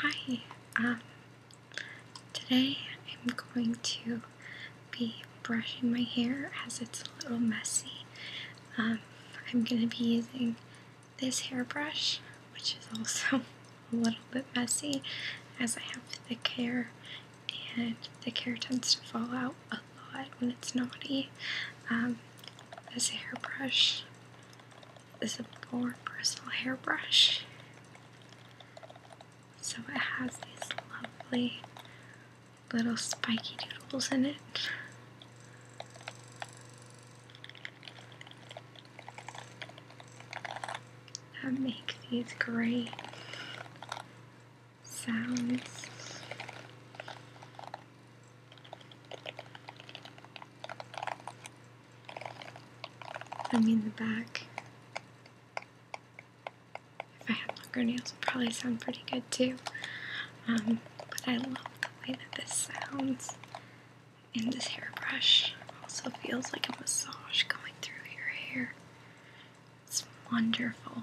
Hi, um, today I'm going to be brushing my hair as it's a little messy. Um, I'm going to be using this hairbrush, which is also a little bit messy as I have thick hair and the hair tends to fall out a lot when it's naughty. Um, this hairbrush is a more personal hairbrush. So it has these lovely little spiky doodles in it. That make these great sounds. I mean the back. If I had longer nails, it'd probably sound pretty good too. Um, but I love the way that this sounds. And this hairbrush also feels like a massage going through your hair. It's wonderful.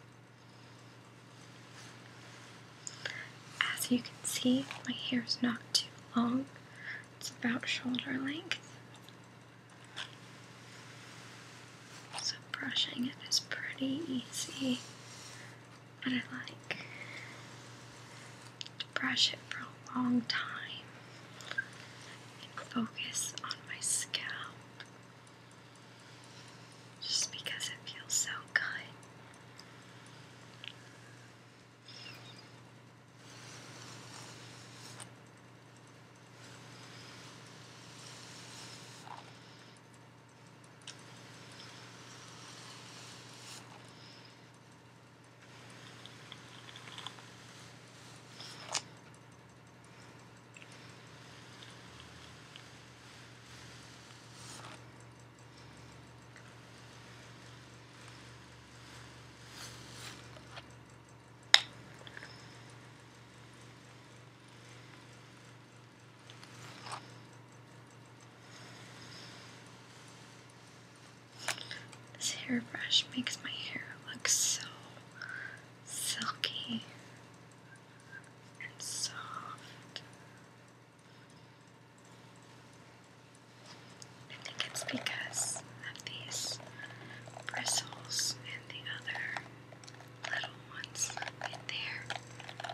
As you can see, my hair is not too long, it's about shoulder length. So, brushing it is pretty easy, but I like to brush it for a long time and focus on my scalp just because it feels so good. This hairbrush makes my hair look so silky and soft. I think it's because of these bristles and the other little ones in there.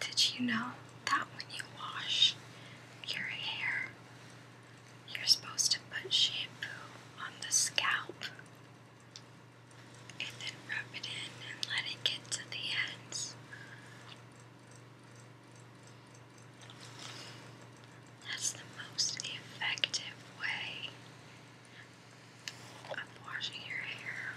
Did you know that when you wash your hair, you're supposed to put shampoo on the scalp and then rub it in and let it get to the ends? That's the most effective way I'm washing your hair.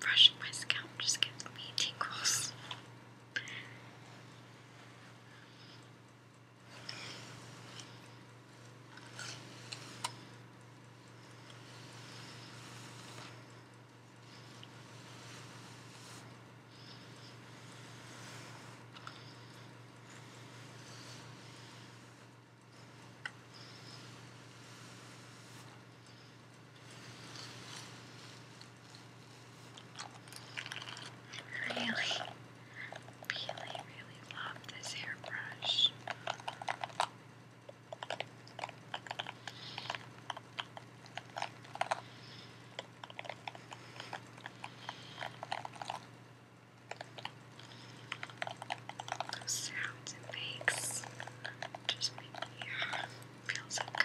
Brushing my scalp just gives me tingles. Really, really, really love this hairbrush. Those sounds it makes just make me feel so good.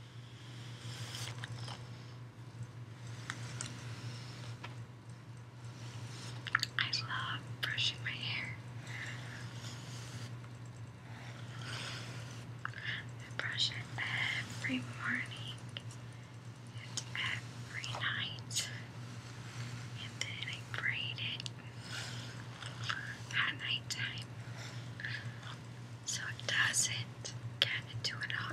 I love brushing my hair. I brush it every morning and every night. And then I braid it at night so it doesn't get into it all.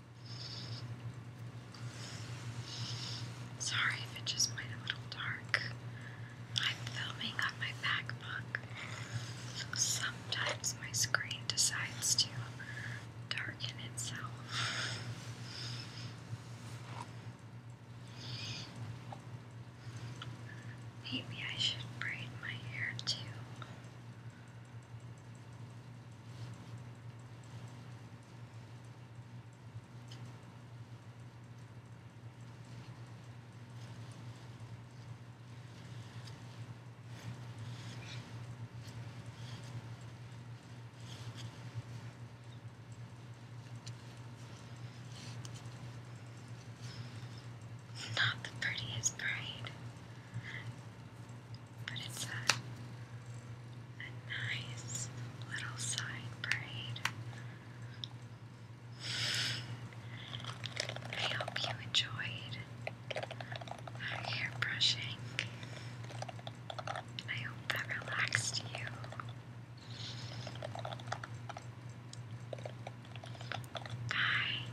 Sorry if it just went a little dark. I'm filming on my MacBook. Sometimes my screen decides to darken itself. Maybe I should braid my hair too. Not the prettiest braid, but it's a, nice little side braid. I hope you enjoyed our hair brushing. I hope that relaxed you. Bye.